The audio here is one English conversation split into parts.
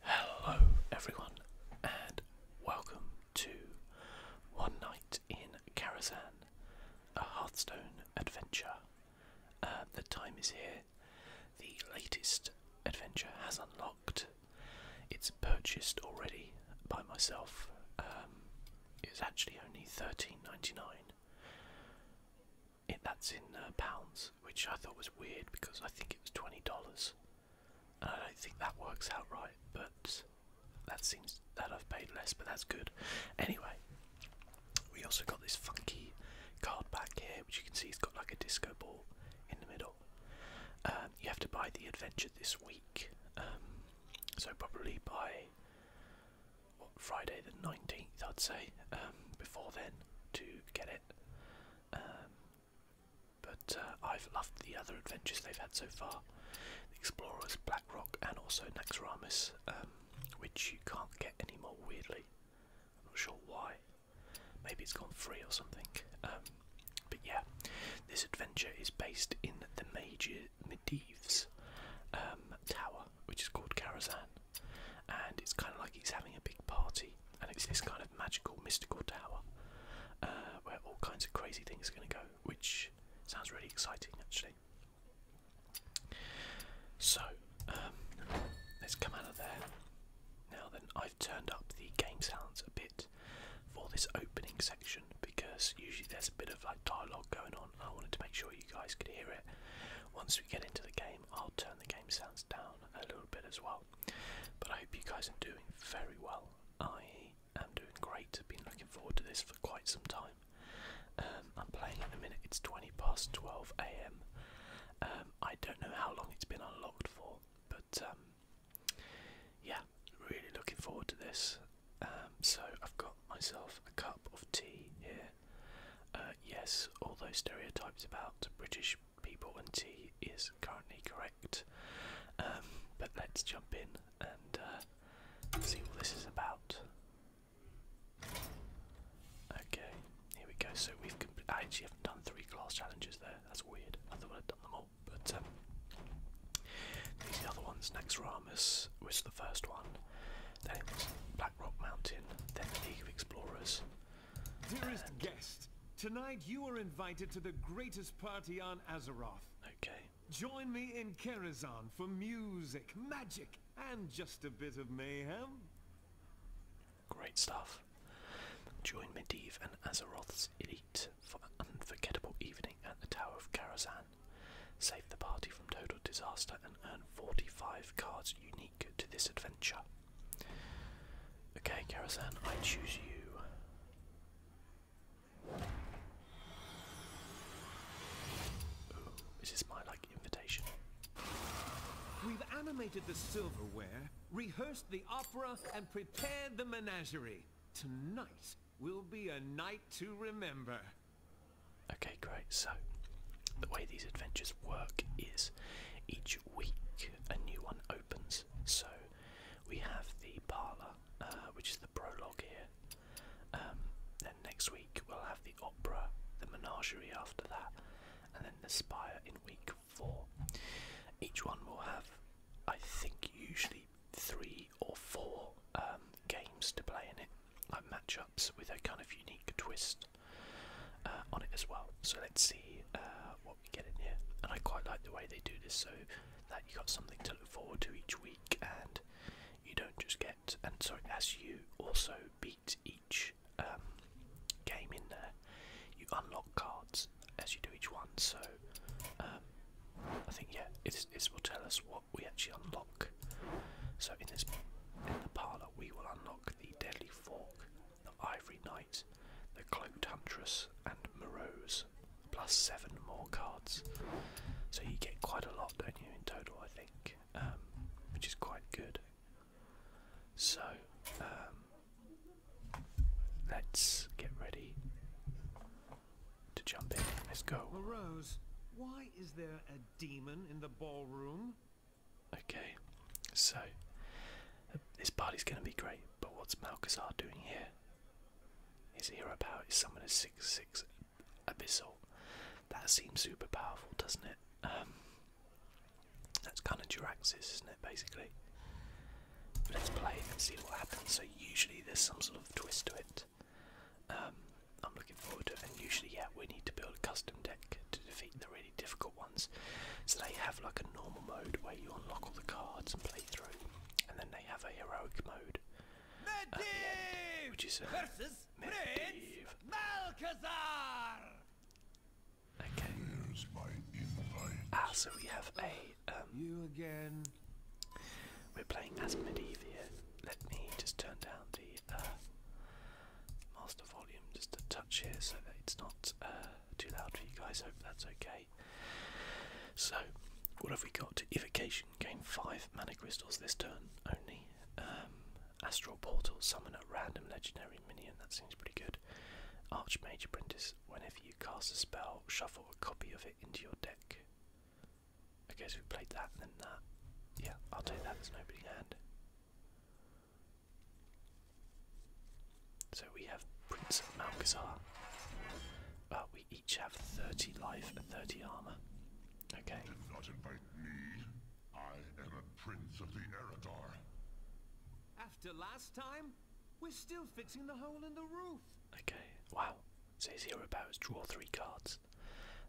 Hello, everyone, and welcome to One Night in Karazhan, a Hearthstone adventure. Uh, the time is here. The latest adventure has unlocked. It's purchased already by myself. Um, it's actually only thirteen ninety nine. That's in uh, pounds, which I thought was weird because I think it was twenty dollars, and I don't think that works out right. But that seems that I've paid less, but that's good. Anyway, we also got this funky card back here, which you can see it's got like a disco ball in the middle. Um, you have to buy the adventure this week, um, so probably by what, Friday the nineteenth, I'd say, um, before then to get it. But uh, I've loved the other adventures they've had so far. The Explorers, Blackrock and also Naxxramas, um, which you can't get anymore weirdly. I'm not sure why. Maybe it's gone free or something. Um, but yeah, this adventure is based in the Major Medivh's um, tower, which is called Karazhan. And it's kind of like he's having a big party and it's this kind of magical, mystical tower uh, where all kinds of crazy things are going to go, which sounds really exciting actually. So, um, let's come out of there. Now then, I've turned up the game sounds a bit for this opening section because usually there's a bit of like dialogue going on. I wanted to make sure you guys could hear it. Once we get into the game, I'll turn the game sounds down a little bit as well. But I hope you guys are doing very well. I am doing great. Been looking forward to this for quite some time. Um, I'm playing at the minute. It's 20 past 12 a.m. Um, I don't know how long it's been unlocked for, but um, yeah, really looking forward to this. so I've got myself a cup of tea here. Uh, yes, all those stereotypes about British people, and T is currently correct. Um, but let's jump in and uh, see what this is about. Okay, here we go. So we've I actually have not done three class challenges there. That's weird. I thought I'd done them all, but um, these the other ones. Next Ramus was the first one. Then it was Black Rock Mountain. Then the League Explorers. Dearest guest, tonight you are invited to the greatest party on Azeroth. Okay. Join me in Karazhan for music, magic, and just a bit of mayhem. Great stuff. Join Medivh and Azeroth's elite for an unforgettable evening at the Tower of Karazhan. Save the party from total disaster and earn 45 cards unique to this adventure. Okay, Karazhan, I choose you. Ooh, is my like invitation? We've animated the silverware, rehearsed the opera, and prepared the menagerie. Tonight will be a night to remember. Okay, great. So, the way these adventures work is each each week a new one opens. So we have the parlour, uh, which is the prologue here. Um, then next week we'll have the opera, the menagerie after that, and then the spire in week four. Each one will have, I think, usually three or four um, games to play in it, like matchups with a kind of unique twist. Uh, on it as well. So let's see uh, what we get in here. And I quite like the way they do this so that you got something to look forward to each week and you don't just get, and so as you also beat each um, game in there, you unlock cards as you do each one. So um, I think, yeah, it, will tell us what we actually unlock. So in this in the parlor, we will unlock the Deadly Fork, the Ivory Knight, the Cloaked Huntress, and Morose. Plus seven more cards. So you get quite a lot, don't you, in total, I think, um, which is quite good. So, um, let's get ready to jump in. Let's go. Morose, why is there a demon in the ballroom? Okay, so uh, this party's going to be great, but what's Malcazar doing here? His hero power is summon a 6 6 Abyssal. That seems super powerful, doesn't it? Um, that's kind of Duraxis, isn't it, basically? Let's play and see what happens. So, usually there's some sort of twist to it. Um, I'm looking forward to it, and usually, yeah, we need to build a custom deck to defeat the really difficult ones. So they have like a normal mode where you unlock all the cards and play through, and then they have a heroic mode uh, which is versus Medivh. Ah, so we have a. Um, we're playing as Medivh Let me just turn down the. Uh, master volume just a touch here so that it's not uh, too loud for you guys. Hope that's okay. So, what have we got? Evocation, gain 5 mana crystals this turn only. Um, Astral Portal, summon a random legendary minion, that seems pretty good. Archmage Apprentice, whenever you cast a spell, shuffle a copy of it into your deck. I guess we played that and then that. Yeah, I'll take that, there's nobody hand. So we have Prince of Malkazar. Uh, we each have 30 life and 30 armor. Okay. Did not invite me. I am a prince of the Eradar. After last time, we're still fixing the hole in the roof. Okay, wow. So his hero powers draw three cards.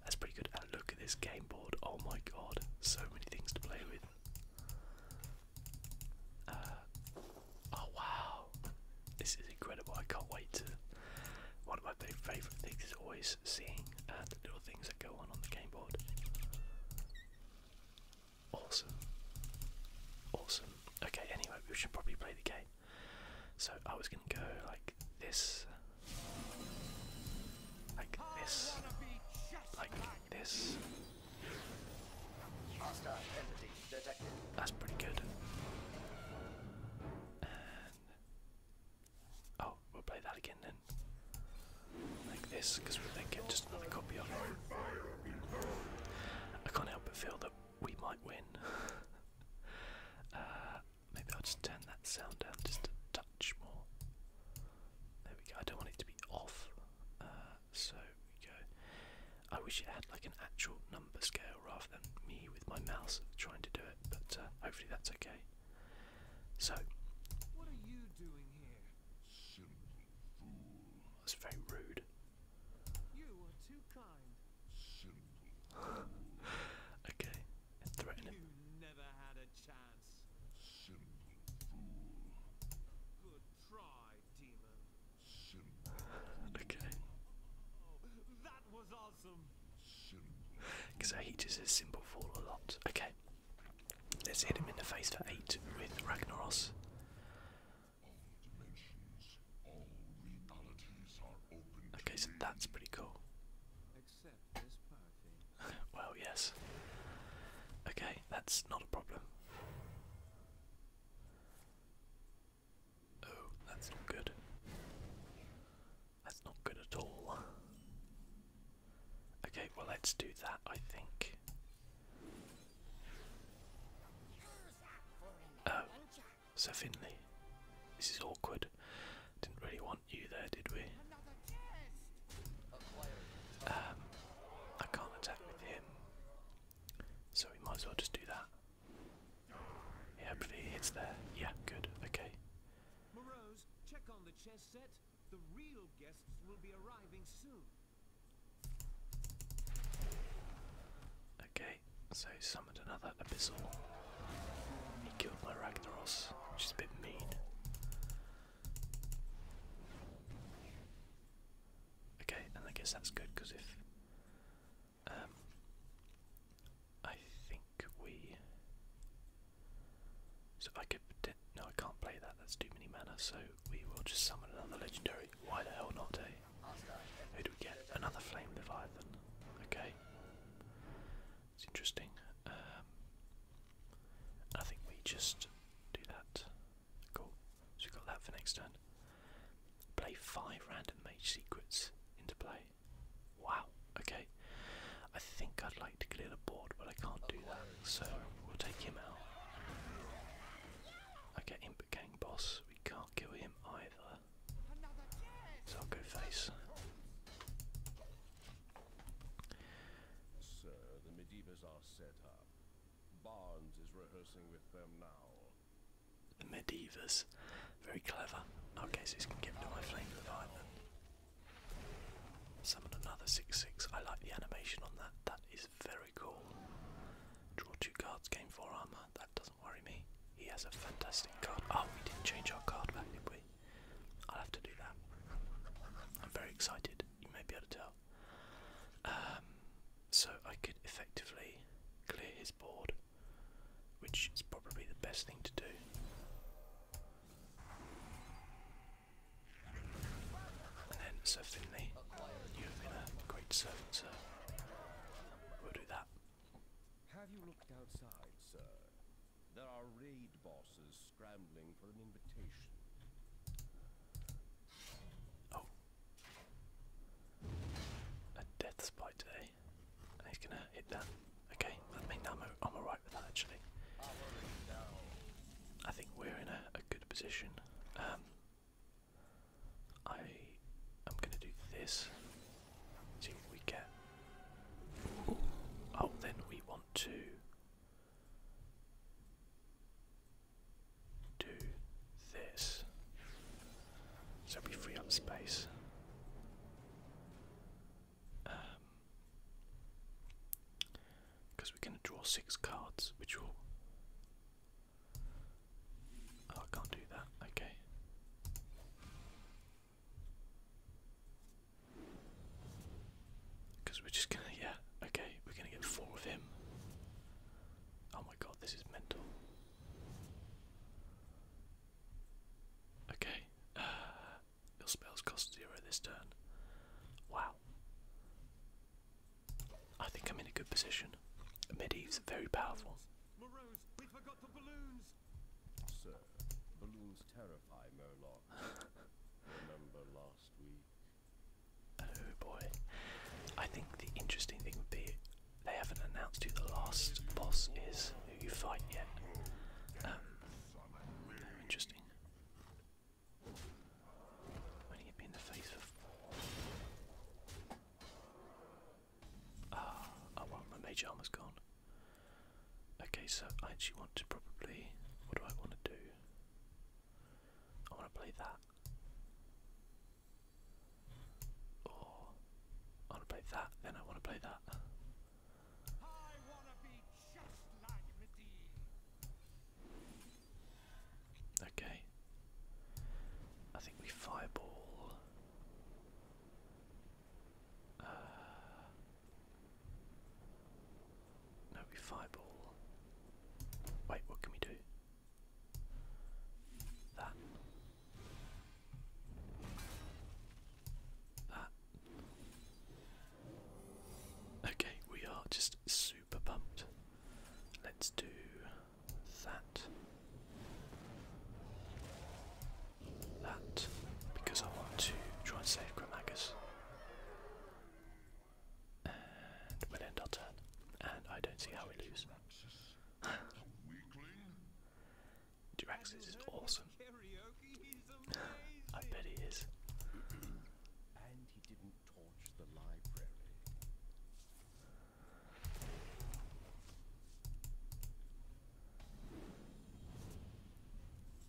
That's pretty good. And look at this game board. Oh my god, so many things to play with. Uh, oh wow, this is incredible! I can't wait to. One of my favorite things is always seeing uh, the little things that go on on the game board. Awesome, awesome. Okay, anyway, we should probably play the game. So I was gonna go like this, like this, like like That's pretty good. oh, we'll play that again then. Like this, because we then get just another copy of it. I can't help but feel that we might win. Uh, maybe I'll just turn that sound down just a touch more. There we go. I don't want it to be off. Uh, so we go. I wish it had like an actual number scale rather than me with my mouse trying to do it, but uh, hopefully that's okay. So, what are you doing here? Simple fool. That's very rude. You are too kind. Simple. okay, and You never had a chance. Simple fool. Good Okay. Because I hate his symbol fall a lot. Okay. Let's hit him in the face for eight with Ragnaros. Okay, so that's pretty cool well, yes. Okay, that's not a problem. Oh, that's not good. That's not good at all. Okay, well, let's do that, I think. Oh, Sir Finley. This is awkward. Didn't really want you there, did we? Um, I can't attack with him, so we might as well just do that. Yeah, it's there. Yeah, good. Okay. Morose, check on the chess set. The real guests will be arriving soon. Okay, so he summoned another abyssal. He killed my Ragnaros, which is a bit mean. Okay, and I guess that's good because if um, I think we, so I could no, I can't play that. That's too many mana. So we will just summon another legendary. Why the hell not? Eh? Who do we get? Another flame leviathan. Okay, it's interesting. Um, I think we just do that. Cool. So we've got that for next turn. Play five random mage secrets into play. Wow, okay. I think I'd like to clear the board, but I can't do that, so we'll take him out. Okay, Imp Gang Boss, we can't kill him either. So I'll go face. Sir, the Medivas are set up. Barnes is rehearsing with them now. Medivas. Very clever. Okay, so he's going to give it to my flame revive then. Summon another 6 6. I like the animation on that. That is very cool. Draw two cards, gain 4 armour. That doesn't worry me. He has a fantastic card. Oh, we didn't change our card back, did we? I'll have to do that. I'm very excited you may be able to tell. Um, so I could effectively clear his board, which is probably the best thing to do. And then Finley, you have a great servant, sir. We'll do that. Have you looked outside, sir? There are raid bosses Oh. A death spite today. Eh? he's gonna hit that. Okay, I mean I'm, alright with that actually. I think we're in a, good position. Um, I am gonna do this. See what we get. Oh, then we want to do this. So we free up space. Because um, we're going to draw six cards, which will. Oh, I can't do that. Okay. Because we're just gonna, yeah, okay, we're gonna get four of him. Oh my god, this is mental. Okay, uh, your spells cost zero this turn. Wow. I think I'm in a good position. Medivh's very powerful. balloons! terrify Murloc. Remember last week? Oh boy. I think the interesting thing would be they haven't announced who the last boss is who you fight yet. Um, interesting. When he in the face Ah, oh well, my mage armor's gone. Okay, so I actually want to probably. What do I want to do? I want to play that. Or I want to play that, then I want to play that. Okay. I think we fireball. Uh, no, we fireball. Wait, what can we do? That. That. Okay, we are just super pumped. Let's do that. That. Because I want to try and save Gramagus. And we'll end our turn. And I don't see how we lose. Duraxis is awesome. I bet he is.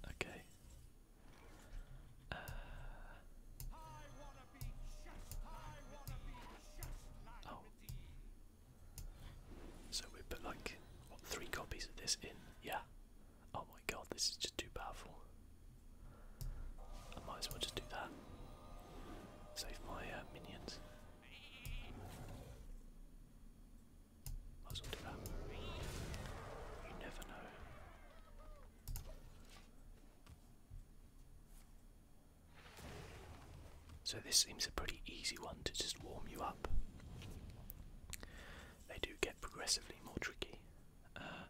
Okay, oh. So we put like, three copies of this in? Yeah. Oh my god, this is just too powerful. I might as well just do that. Save my uh, minions. Might as well do that. You never know. So this seems a pretty easy one to just warm you up. They do get progressively more tricky. Uh,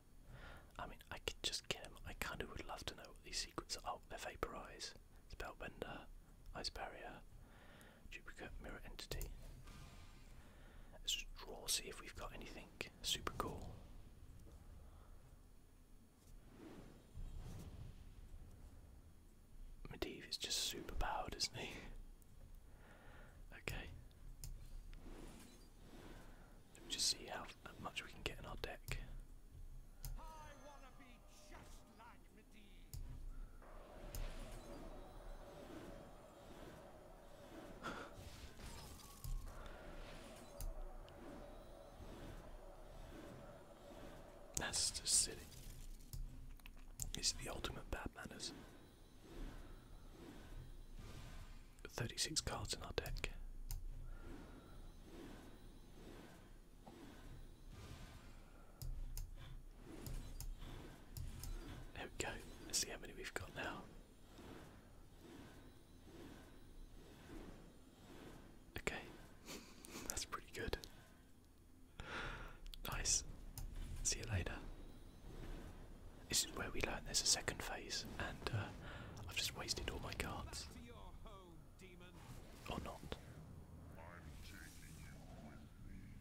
I mean, I could just get them. I kind of would love to know what these secrets are. Oh, they vaporize. It's Vaporize, bender, Ice Barrier, Duplicate Mirror Entity. Let's just draw, see if we've got anything super cool. Medivh is just super powered, isn't he? okay. Let me just see how much we can get in our deck. That's just silly. It's the ultimate bad manners. 36 cards in our deck. There we go. Let's see how many we've got now. Okay, that's pretty good. Nice. See you later. This is where we learn there's a second phase, and uh, I've just wasted all my cards. Or not.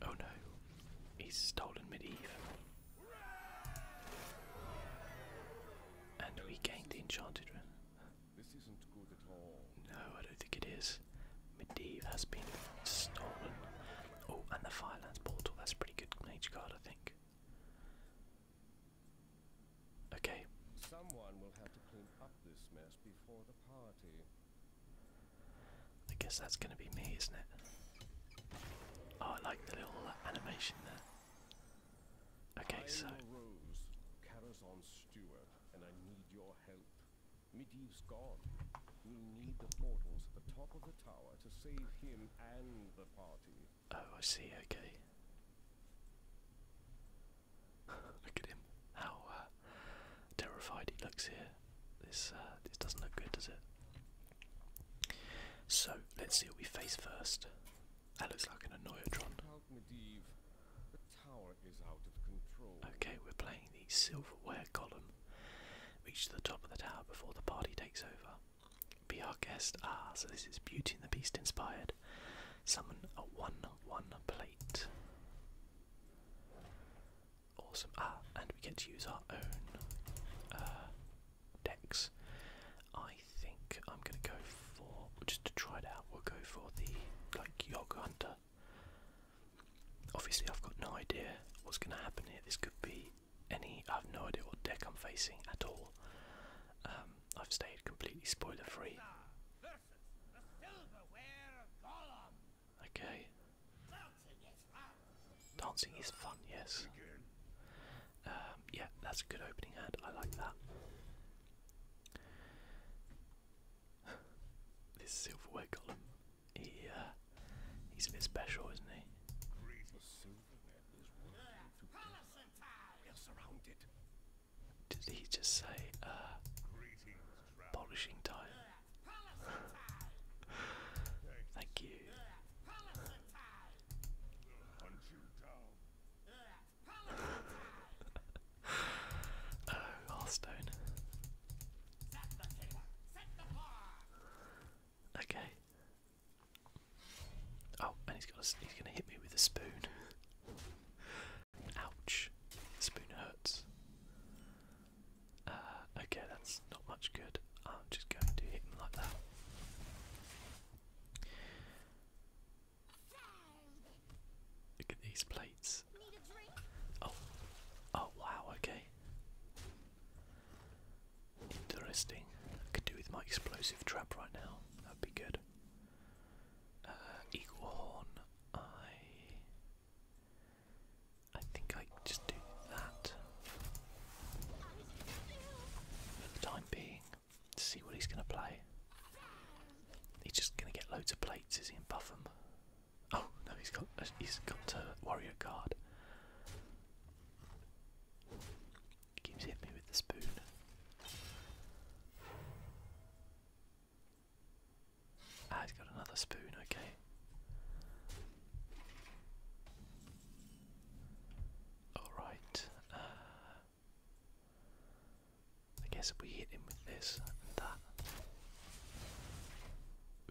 Oh no, he's stolen medieval. And we gained the enchanted ring. This isn't good No, I don't think it is. Medivh has been stolen. Oh, and the Firelands portal. That's pretty good mage card, I think. Okay. Someone will have to clean up this mess before the party. I guess that's going to be me, isn't it? Oh, I like the little animation there. Okay, so. Rose, Carazon Steward, and I need your help. Medivh's gone. We need the portals at the top of the tower to save him and the party. Oh, I see. Okay. look at him. How uh, terrified he looks here. This uh, this doesn't look good, does it? So let's see what we face first. That looks like an Annoyatron. Okay, we're playing the silverware column. Reach to the top of the tower before the party takes over. Be our guest. Ah, so this is Beauty and the Beast inspired. Summon a 1 1 plate. Awesome. Ah, and we get to use our own uh, decks. I think I'm gonna go for just to try it out. We'll go for the like Yog Hunter. Obviously, I've got no idea what's gonna happen here. This could be any. I have no idea what deck I'm facing at all. Um, I've stayed completely spoiler free. Okay. Dancing is fun, yes. Um, yeah, that's a good opening hand. I like that. this silverware column, he, uh, he's a bit special, isn't he? Did he just say, uh, polishing time? Thank you oh, Hearthstone. Okay. Oh, and he's gonna he's gonna hit me with a spoon. Ouch! spoon hurts. Uh, okay, that's not much good. I'm just going to hit him like that. Look at these plates. Oh, oh wow, okay. Interesting. I could do with my explosive trap right now. That'd be good. Uh, eagle horn. I. I think I just do that for the time being to see what he's going to play. He's just going to get loads of plates, is he, in buff Oh no, he's got uh, he's got a warrior card. He keeps hitting me with the spoon. Ah, he's got another spoon. Okay. All right. Uh, I guess we hit him with this and that.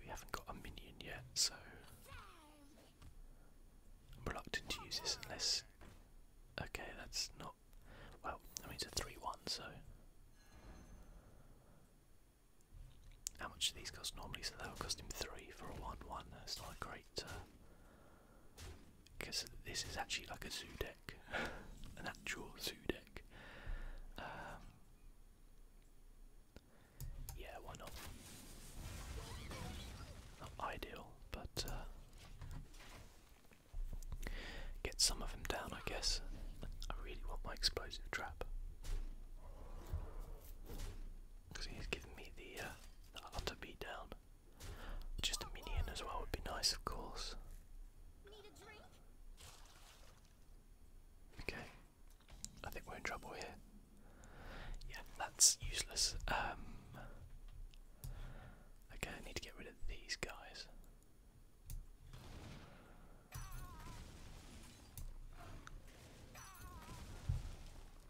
We haven't got a minion yet, so reluctant to use this unless. Okay, that's not. Well, I mean, it's a 3 1, so. How much do these cost normally? So that'll cost him 3 for a 1 1. That's not great. Because this is actually like a zoo deck, an actual zoo deck. Um, yeah, why not? Not ideal, but uh, get some of them down, I guess. I really want my explosive trap because he's giving me the uh, utter beatdown. Just a minion as well would be nice, of course. Okay, I think we're in trouble here. Yeah, that's useless. Um, okay, I need to get rid of these guys.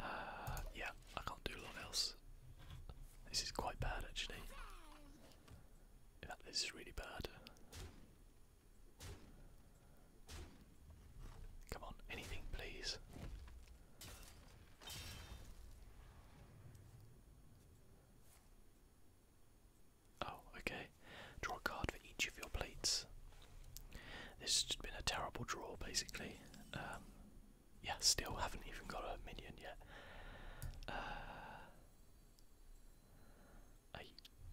Uh, yeah, I can't do a lot else. This is quite bad actually. this is really bad. Come on, anything please. Oh, okay. Draw a card for each of your plates. This has been a terrible draw, basically. Um, yeah, still haven't even got a minion yet. Uh, I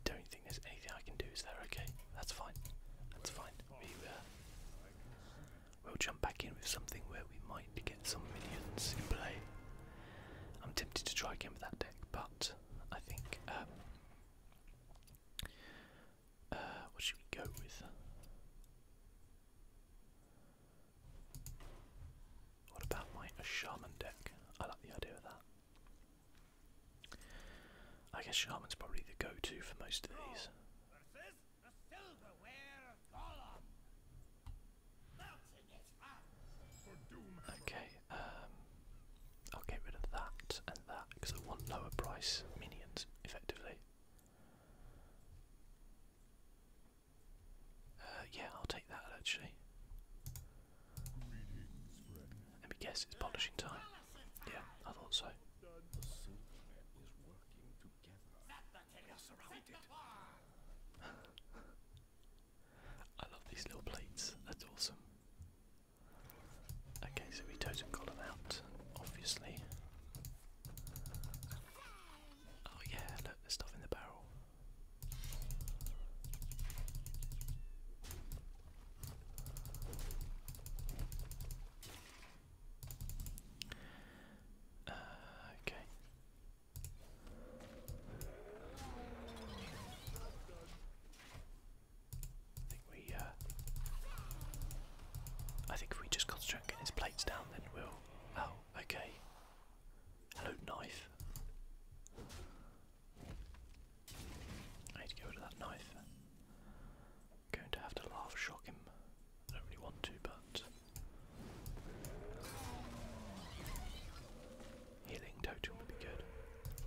don't think there's anything I can do, is there? Okay, that's fine. That's fine. We, uh, we'll jump back in with something where we might get some minions in play. I'm tempted to try again with that deck, but I think um, uh, what should we go with? What about my shaman deck? I like the idea of that. I guess shaman's probably the go-to for most of these. Okay, um, I'll get rid of that and that because I want lower price minions effectively. Uh, yeah, I'll take that actually. Let me guess, it's polishing time. Yeah, I thought so. I love these little plates, that's awesome. Okay, so we totem got him out, obviously. Oh yeah, look, there's stuff in the barrel. Uh, okay. I think we, uh, I think if we just concentrate on getting his plates down, then we'll. Oh, okay. Hello, knife. I need to get rid of that knife. going to have to laugh shock him. I don't really want to, but. Healing totem would be good.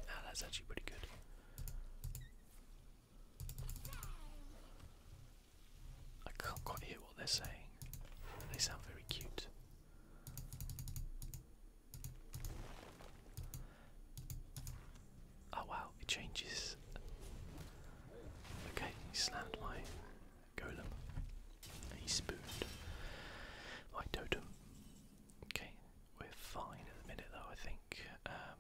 Ah, that's actually pretty good. I can't quite hear what they're saying. They sound very cute. Oh wow, it changes. Okay, slammed my golem. He spooned my totem. Okay, we're fine at minute though, I think. Um,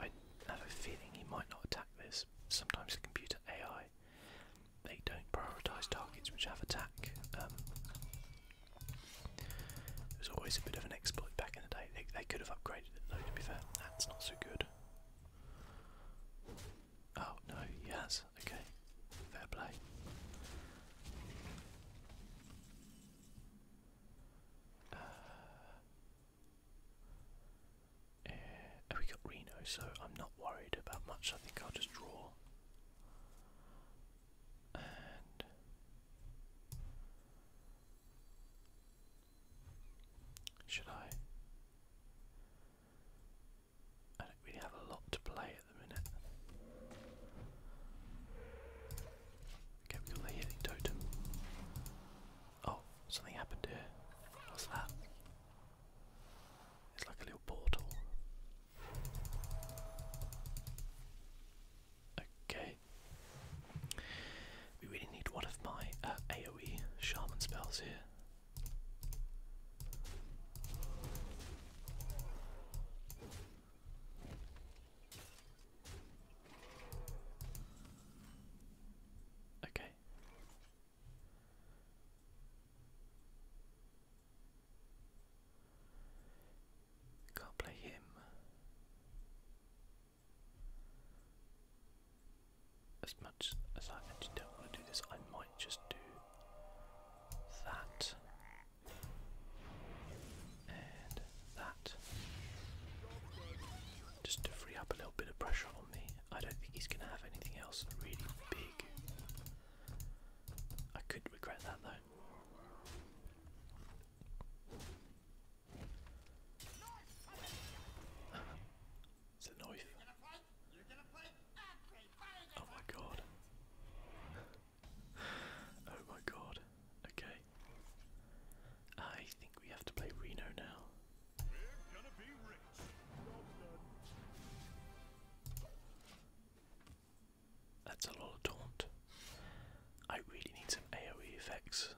I have a feeling he might not attack this. Sometimes the computer AI they don't prioritise targets which have attack. Um, There's always a bit of an exploit back in the day. They, could have upgraded it though. To be fair, that's not so good. Oh no, he Okay. Fair play. Uh, we got Reno, so I'm not worried about much. I think I'll just draw. should I? I have a lot to play at the minute. Okay, we got the healing totem. Oh, something happened here. What's that? It's like a little portal. Okay. We really need one of my uh, AoE shaman spells here. Okay. Can't play him. As much as I actually don't want to do this, I might just do that. And that. Just to free up a little bit of pressure on me. I don't think he's going to have anything else really big. I could regret that though. Is it knife. Oh my god. oh my god. Okay. I think we have to play Reno now. That's a lot of taunt. I really need some AoE effects.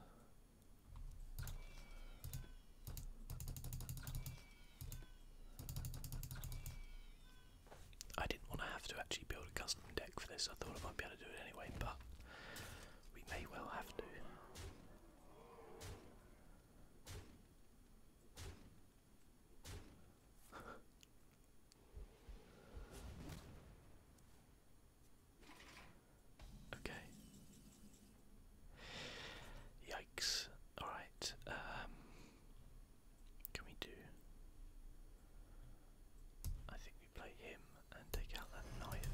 I didn't want to have to actually build a custom deck for this. I thought I might be able to do it anyway, but we may well have to. okay. Yikes. Alright. Um, can we do? I think we play him and take out that knife.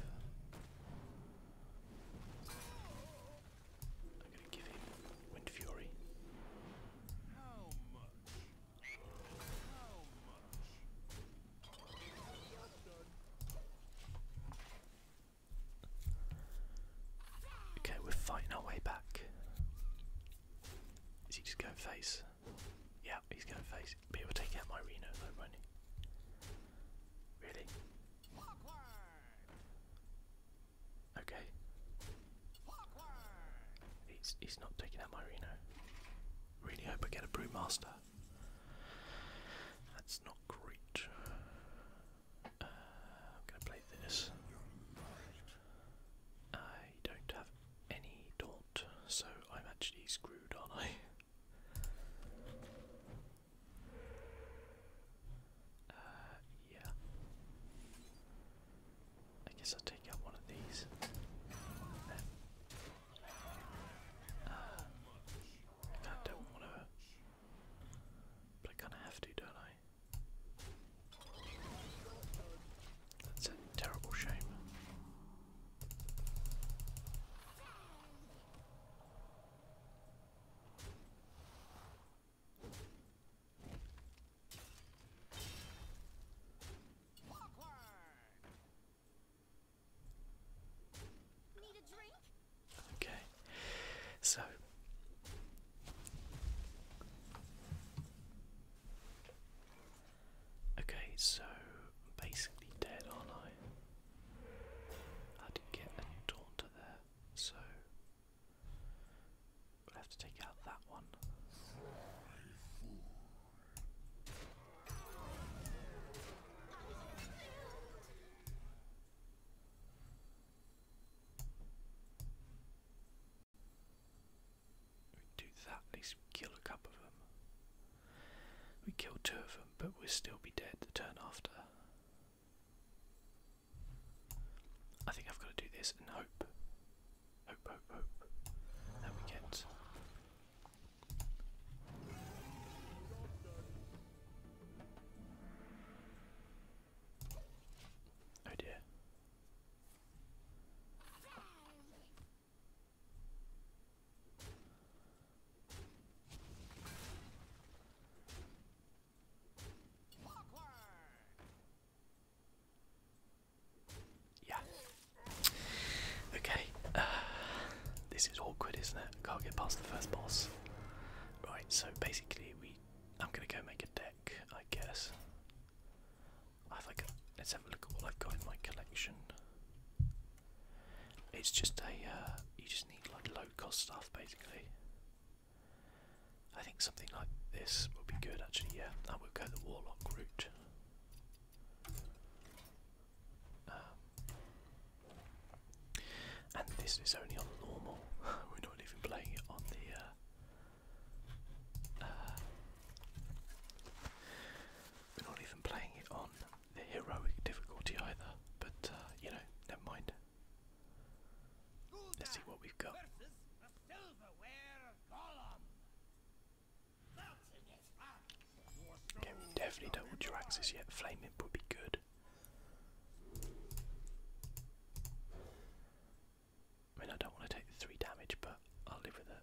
I'm gonna give him Wind Fury. Okay, we're fighting our way back. Is he just going face? Yeah, he's going face. But he'll take out my Reno though, won't he? Really? Okay. He's, he's not taking out my Reno. Really hope I get a Brewmaster. That's not great. Uh, I'm going to play this. I I don't have any daunt, so I'm actually screwed, aren't I? Uh, yeah. I guess I'll take out one of these. Uh, I don't want to, but I kind of have to, don't I? That's a terrible shame. Okay, so Okay, so basically dead, aren't I? I did get a taunter there, so we'll have to take out that one. We do that, at least kill a couple of them. We kill two of them, but we'll still be dead the turn after. I think I've got to do this and hope. Hope, hope, hope. That we get. Oh yeah. Okay. Uh, this is awkward, isn't it? Can't get past the first boss. Right. So basically, we. I'm gonna go make a deck, I guess let's have a look at what I've got in my collection. It's just a uh, you just need like low cost stuff basically. I think something like this would be good actually. Yeah, I would go the warlock route. Um, and this is only on normal. We're not even playing it on the uh, we're not even playing it on the heroic difficulty either, but uh, you know, never mind. Let's see what we've got. Okay, we definitely don't want your yet. Flame imp would be good. I mean, I don't want to take the three damage, but I'll live with it.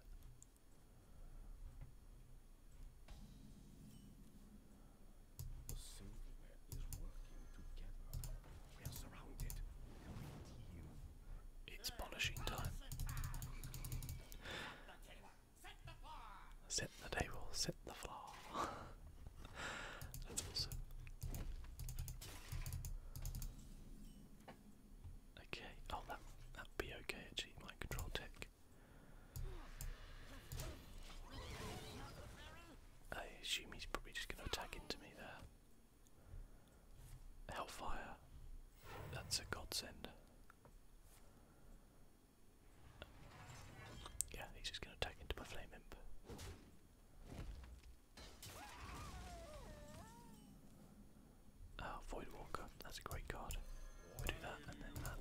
It's polishing time. Set the table, set the floor. Okay. Oh, that be okay. Actually, my control tech. I assume he's probably just going to attack into me there. Hellfire. That's a godsend. Yeah, he's just going to attack into my flame imp. Oh, Void that's a great card. we do that and then that.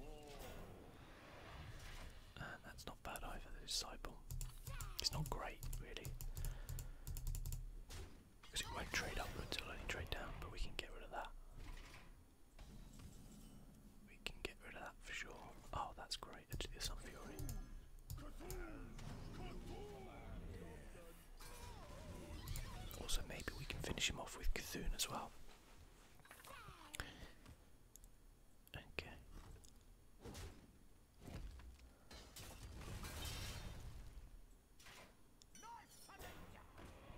And uh, that's not bad either, the Disciple. It's not great, really. Because it won't trade upwards, it'll trade down, but we can get rid of that. We can get rid of that for sure. Oh, that's great. Actually, there's some fury. Also, maybe we can finish him off with Cthulhu as well. Okay.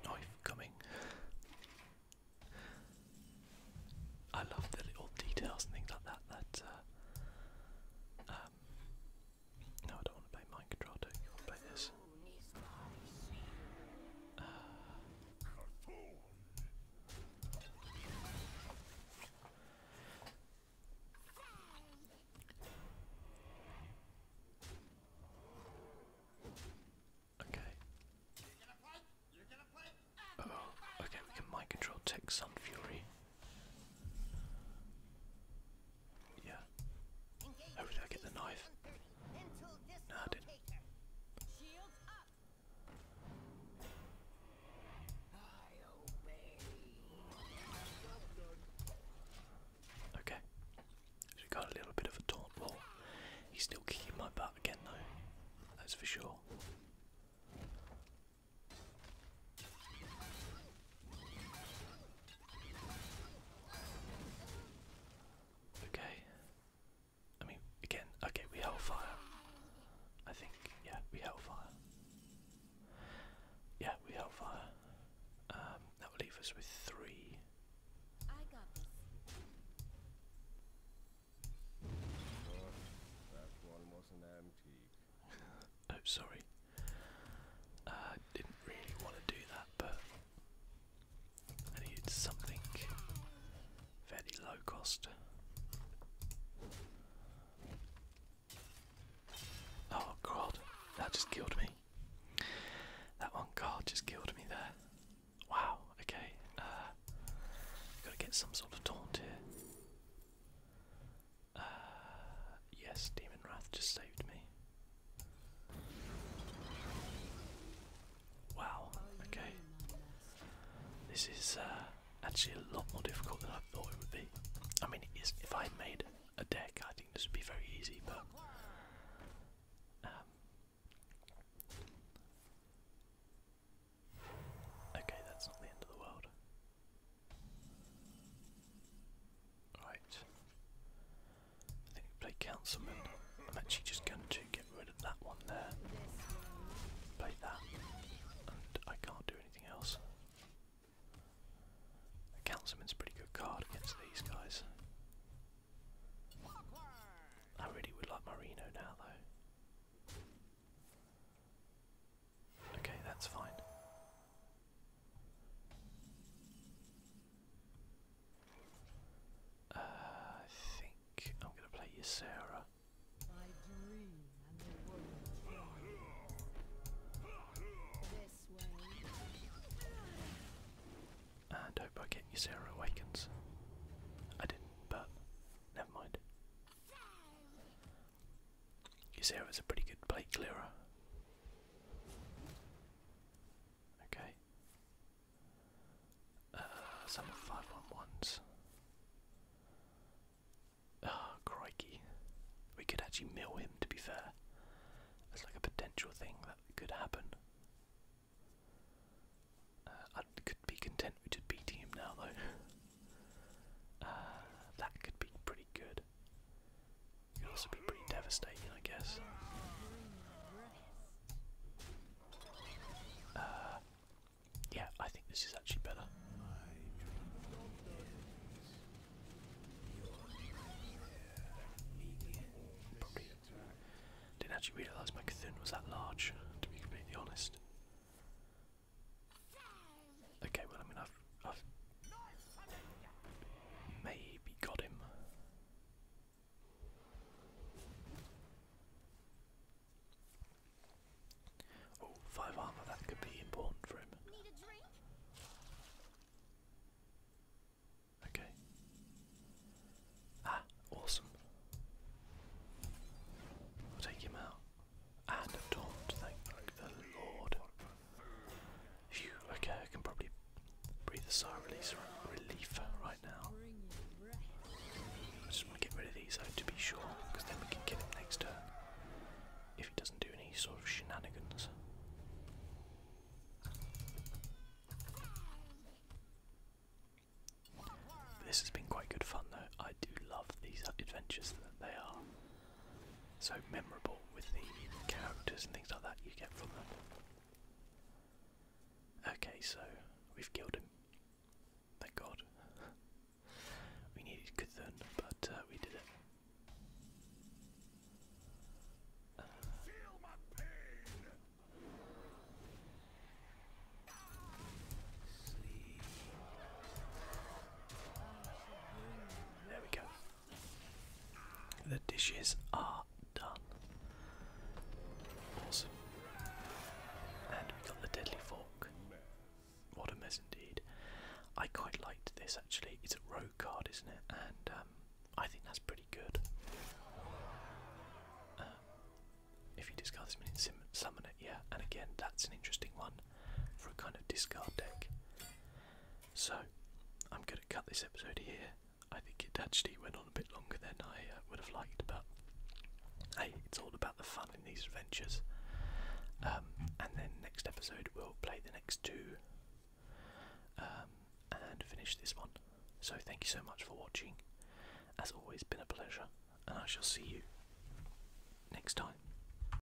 Knife coming. I love the little details and things like that that uh, um, no, I don't want to play Mike Trotto, you want to play this. Okay. Oh, okay, we can mind control Tech Sun Fury. Yeah. How did get the knife? No, I didn't. Okay. So we got a little bit of a taunt He's still kicking my butt again though. That's for sure. Okay. I mean, again, okay, we held fire. I think, yeah, we held fire. Yeah, we held fire. Um, that will leave us with three oh, sorry. I uh, didn't really want to do that, but I needed something very low cost. Oh god, that just killed me. That one card just killed me there. Wow, okay. Uh, gotta get some sort of taunt here. Uh, yes, Demon Wrath just saved me. Wow, okay. This is uh, actually a lot more difficult than I thought it would be. I mean, if I made a deck, I think this would be very easy, but. Um, okay, that's not the end of the world. Right. I think we play Councilman. I'm actually just going to get rid of that one there. Play that. And I can't do anything else. Councilman's a pretty good card against these guys. I really would like Marino now though. Okay, that's fine. Uh, I think I'm going to play you, Sarah. And hope I get you, Sarah Awakens. I didn't, but never mind. Ysera was a pretty good plate clearer. Okay. Uh, some five one ones. Oh, crikey. We could actually mill him, to be fair. it's like a potential thing that could happen. Uh, I could be content with just beating him now, though. Uh, that could be pretty good. Could also be pretty devastating, I guess. Uh, yeah, I think this is actually better. didn't actually realise my Cthulhu was that large, to be completely honest. Okay, well I mean I've I've maybe got him. Oh, five armor, that could be important for him. Okay. Ah, awesome. take him out and a taunt, thank the Lord. Phew, okay, I can probably breathe a sigh of relief right now. I just want to get rid of these to be sure, because then we can kill him next turn. If he doesn't do any sort of shenanigans. This has been quite good fun though. I do love these adventures that they are so memorable with the characters and things like that you get from them. Okay, so we've killed him. Thank God. we needed Cthulhu, but uh, we did it. Uh, there we go. The dishes are done. Awesome. And we got the deadly fork. What a mess indeed. I quite liked this actually. It's a rogue card, isn't it? And um, I think that's pretty good. Um, if you discard this minion, summon it, yeah. And again, that's an interesting one for a kind of discard deck. So, I'm going to cut this episode here. I think it actually went on a bit longer than I uh, would have liked, but hey, it's all about the fun in these adventures. Um, and then next episode, we'll play the next two um, and finish this one. So, thank you so much for watching. As always, been a pleasure, and I shall see you next time.